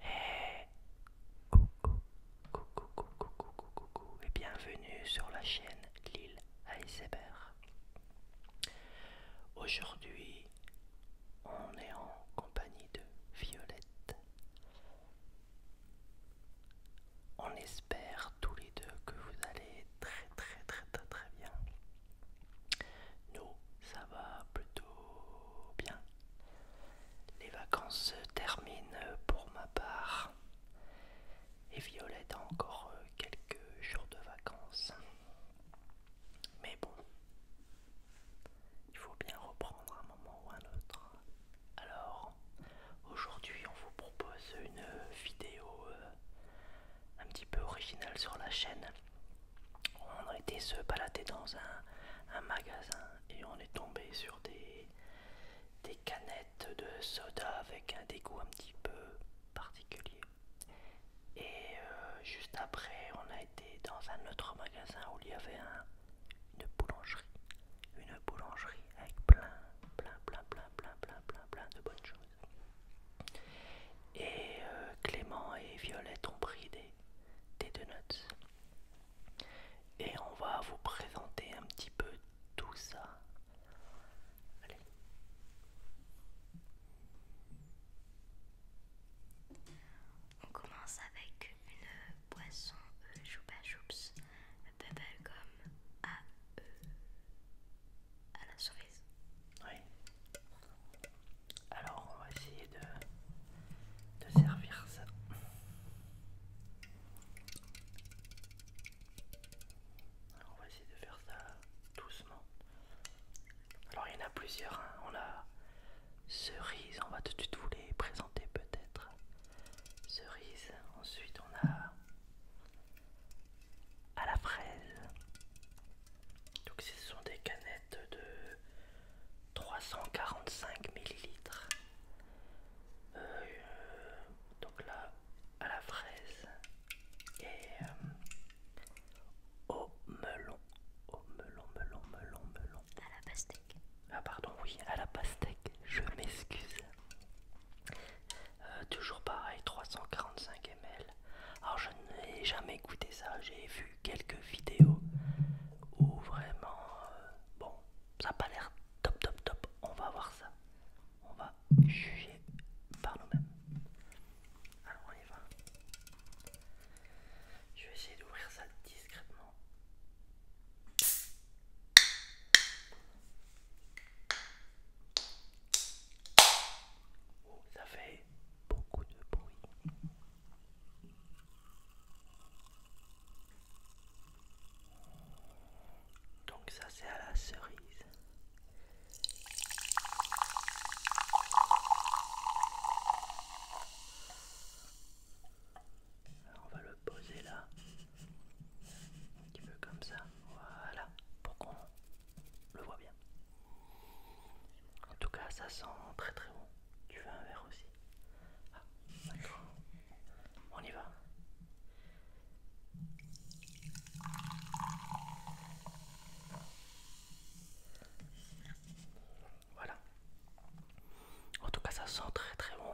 Hey, coucou, coucou, coucou, et bienvenue sur la chaîne Lille ASMR. Aujourd'hui, on est en compagnie de Violette. On espère tous les deux que vous allez très très très très très bien. Nous, ça va plutôt bien. Les vacances se terminent pour ma part. Et Violette a encore euh, quelques jours de vacances. Mais bon, il faut bien reprendre un moment ou un autre. Alors, aujourd'hui, on vous propose une vidéo euh, un petit peu originale sur la chaîne on a été se balader dans un, magasin et on est tombé sur des, des canettes de soda avec un dégoût un petit peu particulier. Et euh, juste après, on a été dans un autre magasin où il y avait une boulangerie. Une boulangerie avec plein, plein, plein, plein, plein, plein, plein, plein de bonnes choses. Et euh, Clément et Violette ont pris des, des, deux notes Et on va vous présenter un petit peu tout ça. Allez. On commence avec une boisson euh, Choupa Choups Bubblegum à, comme à la cerise. Oui. Alors on va essayer de, servir ça. on va essayer de faire ça doucement. Alors il y en a plusieurs. Hein. On a cerise, on va tout de suite vous les présenter peut-être. Cerise, ensuite on a à la fraise, donc ce sont des canettes de 345 ml, euh, euh, donc là, à la fraise et euh, au melon. Au melon, melon, melon, melon. À la pastèque. Ah pardon, oui, à la pastèque. Je m'excuse. toujours pareil, 345 ml. Alors je n'ai jamais goûté ça, j'ai vu quelques vidéos où vraiment, euh, bon, ça pas l'air top, top, top. On va voir ça. On va juger par nous-mêmes. Alors on y va. Je vais essayer d'ouvrir ça discrètement. Oh, ça fait beaucoup de bruit. Donc ça c'est à la cerise. on va le poser là. Un petit peu comme ça. Voilà. Pour qu'on le voit bien. En tout cas ça sent très très bon. Tu veux un verre aussi Ah, On y va. Voilà. En tout cas, ça sent très très bon.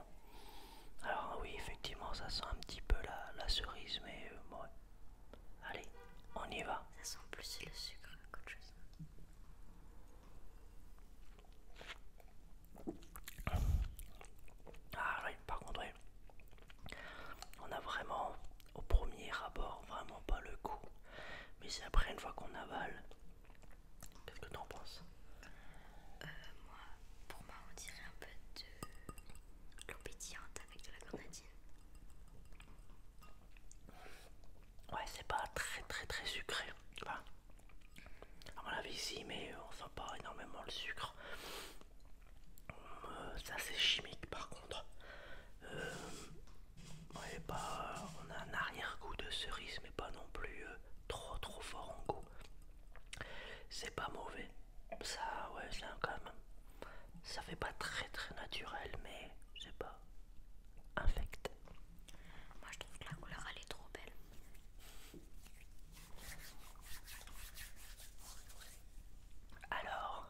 Alors oui, effectivement, ça sent un petit peu la, cerise, mais euh, bon. Allez, on y va. Ça sent plus le sucre qu'autre chose. Ah oui, par contre, oui. on a vraiment au premier abord vraiment pas le goût, mais c'est après une fois qu'on avale. Qu'est-ce que tu en penses euh, Moi, pour moi, on dirait un peu de l'eau avec de la grenadine. Ouais, c'est pas très très très sucré. vois. on l'avait ici, mais euh, on sent pas énormément le sucre. Euh, ça c'est chimique par contre. Euh, ouais, bah, on a un arrière-goût de cerise, mais pas non plus trop trop fort en goût. C'est pas mauvais. Ça, ouais, c'est quand même. Ça fait pas très très naturel, mais sais pas infecte. Moi je trouve que la couleur elle est trop belle. Alors,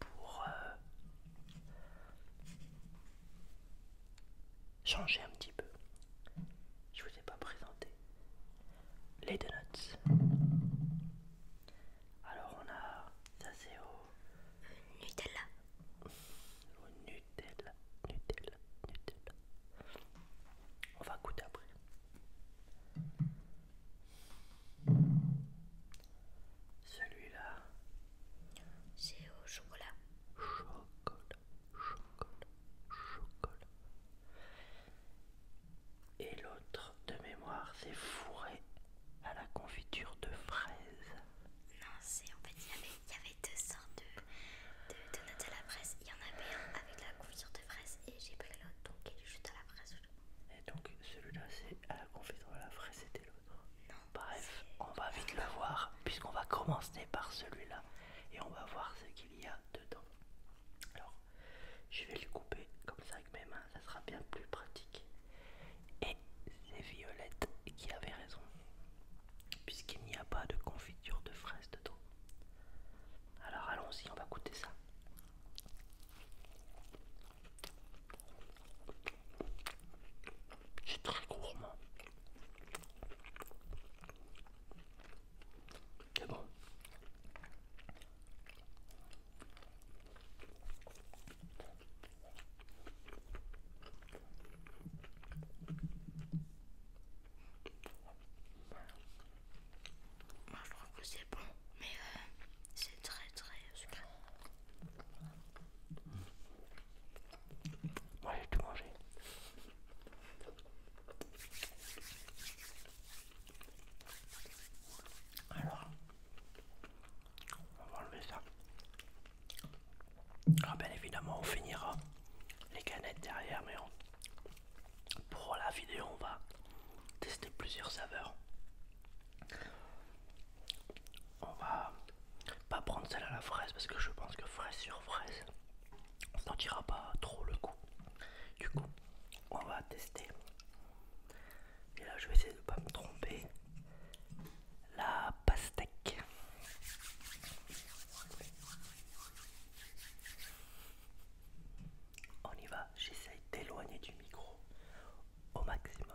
pour euh, changer un petit peu, je vous ai pas présenté les donuts. Alors on a ça c'est au euh, Nutella au Nutella, Nutella, Nutella. On va goûter après. Celui-là, c'est au chocolat. Chocolat, chocolat, chocolat. Et l'autre de mémoire, c'est fourré à la confiture de fraises. Non, c'est en fait jamais il y avait deux sortes de, de donuts à la presse. Il y en avait un avec la confiture de fraise et j'ai pris l'autre, donc il est juste à la presse. Et donc celui-là c'est à la confiture de la fraise, c'était l'autre. Bref, on va vite le voir puisqu'on va commencer par celui-là et on va voir ce qu'il y a dedans. Alors, je vais le couper comme ça avec mes mains, ça sera bien plus pratique c'est Violette qui avait raison, puisqu'il n'y a pas de confiture de fraises dedans. Alors allons-y, on va goûter ça. C'est très gourmand. C'est bon. Moi je crois que c'est bon, mais euh, c'est très très sucré. Moi j'ai tout mangé. Alors, on va enlever ça. Alors ah bien évidemment, on finira les canettes derrière, mais pour la vidéo, on va tester plusieurs saveurs. On va pas prendre celle à la fraise parce que je pense que fraise sur fraise, on sentira pas trop le coup. Du coup, on va tester. Et là, je vais essayer de pas me tromper la pastèque. On y va, j'essaye d'éloigner du micro au maximum.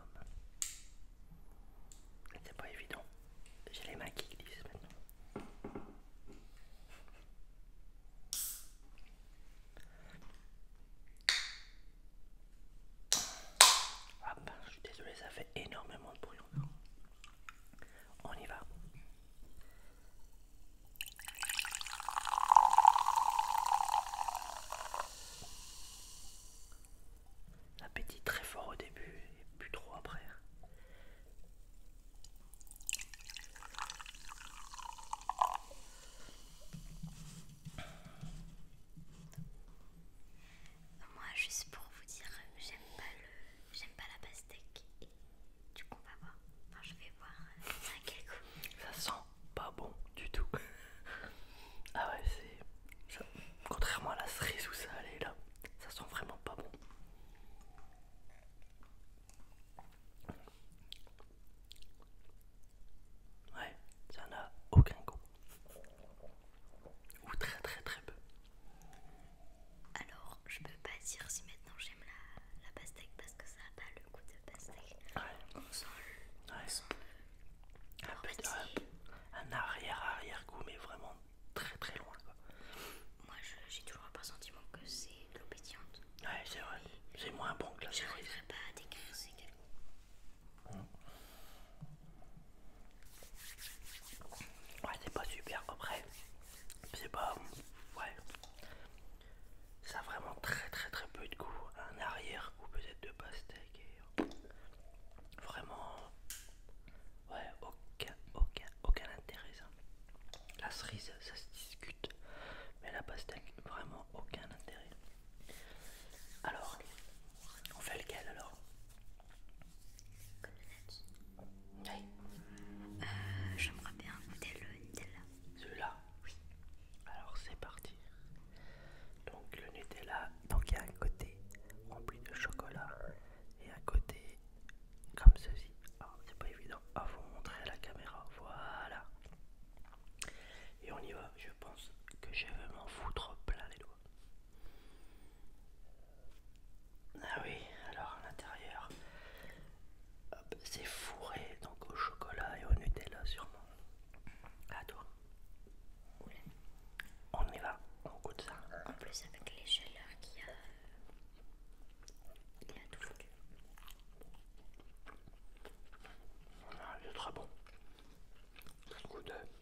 C'est pas évident, j'ai les mains qui glissent maintenant je suis désolé, ça fait énormément de bruit. On y va. Appétit très fort au début et plus trop après. Moi, juste pour vous dire, euh, j'aime pas le, j'aime pas la pastèque. Et du coup, on va voir. je vais voir euh, ça quel goût. Ça sent pas bon du tout. ah ouais, c'est. Contrairement à la cerise où ça allait là, ça sent vraiment pas bon. Ouais, ça n'a aucun goût. Ou très très très peu. Alors, je peux pas dire si maintenant j'aime la, la pastèque parce que ça a pas le goût de pastèque. Ouais. On sent le. Ouais. Un, arrière arrière goût, mais vraiment très très loin quoi. Moi j'ai toujours un sentiment que c'est l'obédiante. Ouais, c'est vrai, c'est moins bon que la J'arriverai pas à décrire c'est quel goût. Mm. Ouais, c'est pas super après. C'est pas. Ouais. Ça a vraiment très très très peu de goût. Un arrière ou peut-être de pastèque. Vraiment. Ouais, aucun, aucun intérêt ça. La cerise, ça se discute. Mais la pastèque, vraiment aucun intérêt. Alors, on fait lequel alors euh, j'aimerais bien goûter le Nutella. Celui-là Oui. Alors c'est parti. Donc le Nutella, donc il y a un côté rempli de chocolat et un côté comme ceci. c'est pas évident à ah, vous montrer à la caméra. Voilà. Et on y va. Je pense que je vais m'en foutre plein les doigts. Ah oui, alors à l'intérieur, c'est fourré donc au chocolat et au Nutella sûrement. À toi. On y va, on goûte ça. En plus avec les chaleurs qu'il y a, il a tout foutu. Ah, il est très bon. goûte. Hein.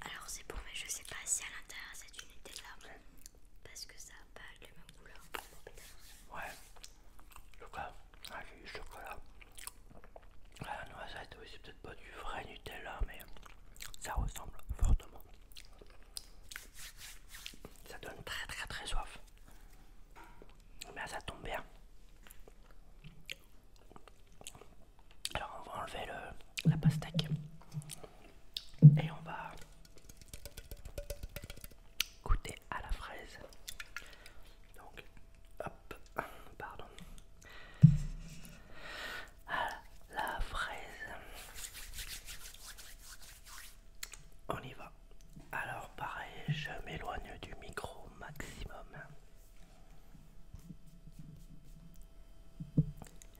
Alors c'est pour mais je sais pas si à l'intérieur c'est du Nutella parce que ça a pas les mêmes couleurs. Ouais. Ah, chocolat. Ah du chocolat. La noisette oui c'est peut-être pas du vrai Nutella mais ça ressemble fortement. Ça donne très très très soif. Mais ça tombe bien. Alors on va enlever le, la pastèque. Et on va goûter à la fraise. Donc, hop, pardon. À la fraise. On y va. Alors pareil, je m'éloigne du micro maximum.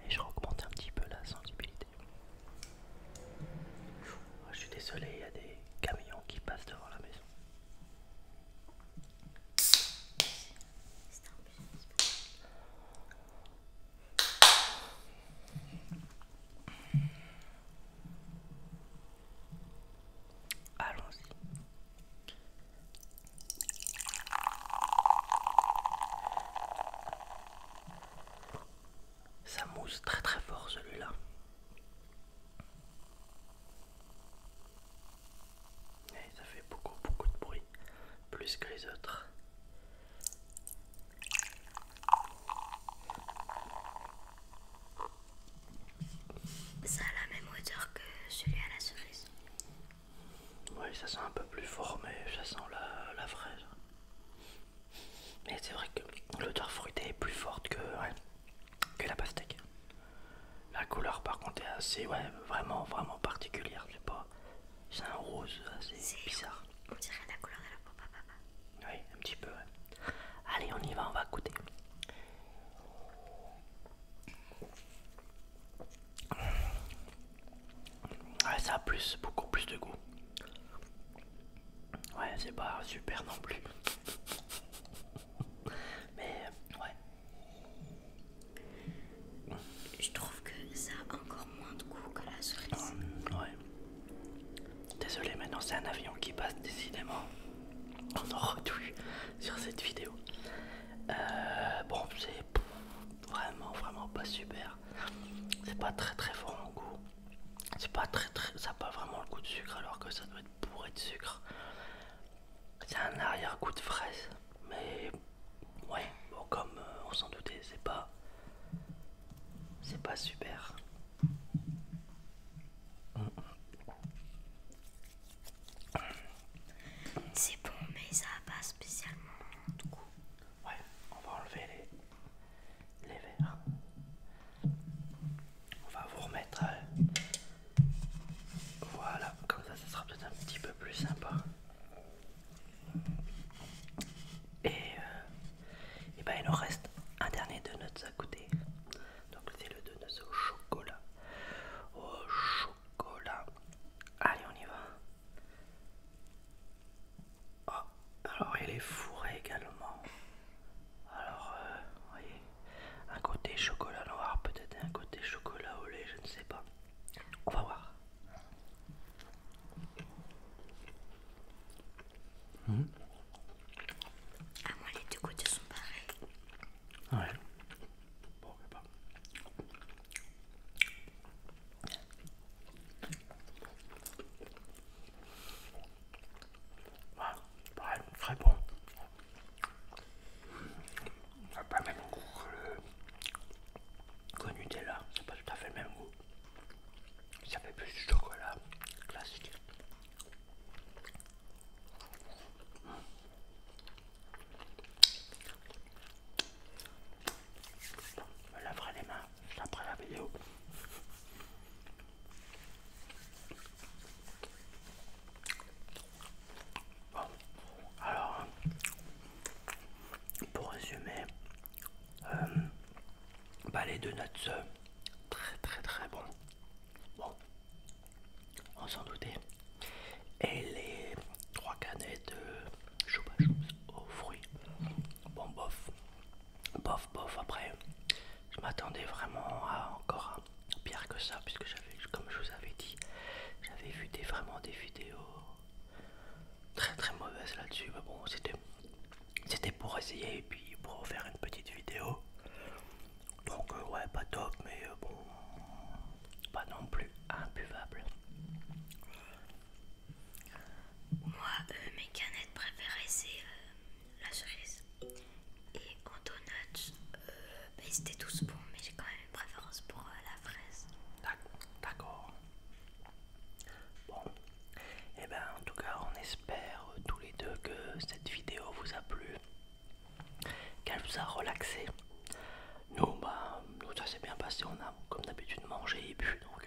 Et je recommande un petit peu la sensibilité. Oh, je suis désolé, il y a des camions qui passent devant la maison. Allons-y. Ça mousse très très fort celui-là. Et ça fait beaucoup beaucoup de bruit, plus que les autres. Ça a la même hauteur que celui à la cerise. Oui, ça sent un peu plus fort, mais ça sent la, fraise. Mais c'est vrai que l'odeur fruitée est plus forte que, que la pastèque. La couleur par contre est assez, ouais, vraiment, vraiment particulière. pas, c'est un rose assez bizarre. On dirait la couleur de la peau, papa. Oui, un petit peu. Allez, on y va, on va goûter. Ouais, ça a plus, beaucoup plus de goût. Ouais, c'est pas super non plus. Mais ouais. Je trouve que ça a encore moins de goût que la cerise. Mm, ouais. Désolé, maintenant c'est un avion qui passe décidément. On en sur cette vidéo. Euh, bon, c'est vraiment, vraiment pas super. C'est pas très très fort en goût. C'est pas très très. Ça n'a pas vraiment le goût de sucre alors que ça doit être bourré de sucre. C'est un arrière-goût de fraise. Mais ouais, comme euh, on s'en doutait, c'est pas. C'est pas super. C'est bon mais ça n'a pas spécialement du goût. Ouais, on va enlever les, verres. On va vous remettre. Euh, voilà, comme ça, ce sera peut-être un petit peu plus sympa. Et, euh, ben, il nous reste un dernier de à goûter. Donc, c'est le de au chocolat. Au chocolat. Allez, on y va. Oh, alors il est fourré également. Alors, euh, vous voyez, un côté chocolat noir, peut-être un côté chocolat au lait, je ne sais pas. On va voir. Hmm. Ah, les deux côtés sont pareils. Ouais. pas. Voilà, pareil, très bon. Ça n'a pas le même goût que le Nutella, c'est pas tout à fait le même goût. Ça fait plus du chocolat classique. Me laverai les mains après la vidéo. Bon, alors, pour résumer, euh, bah, les deux notes euh, très très très bon. Bon, on s'en doutait. Et les trois canettes euh, chopage aux fruits. Bon, bof, bof, bof. Après, je m'attendais vraiment à encore un pire que ça, puisque j'avais, comme je vous avais dit, j'avais vu des, vraiment des vidéos très très mauvaises là-dessus. Mais bon, c'était c'était pour essayer et puis pour faire une petite vidéo. Donc, euh, ouais, pas top, mais euh, bon, pas non plus imbuvable. Moi, euh, mes canettes préférées, c'est euh, la cerise. Et en donuts, c'était euh, bah, tous bons, mais j'ai quand même une préférence pour la fraise. D'accord. Bon. Et eh ben en tout cas, on espère tous les deux que cette vidéo vous a plu, qu'elle vous a relaxé. Nous, bah, ça s'est bien passé. On a comme d'habitude mangé et bu, donc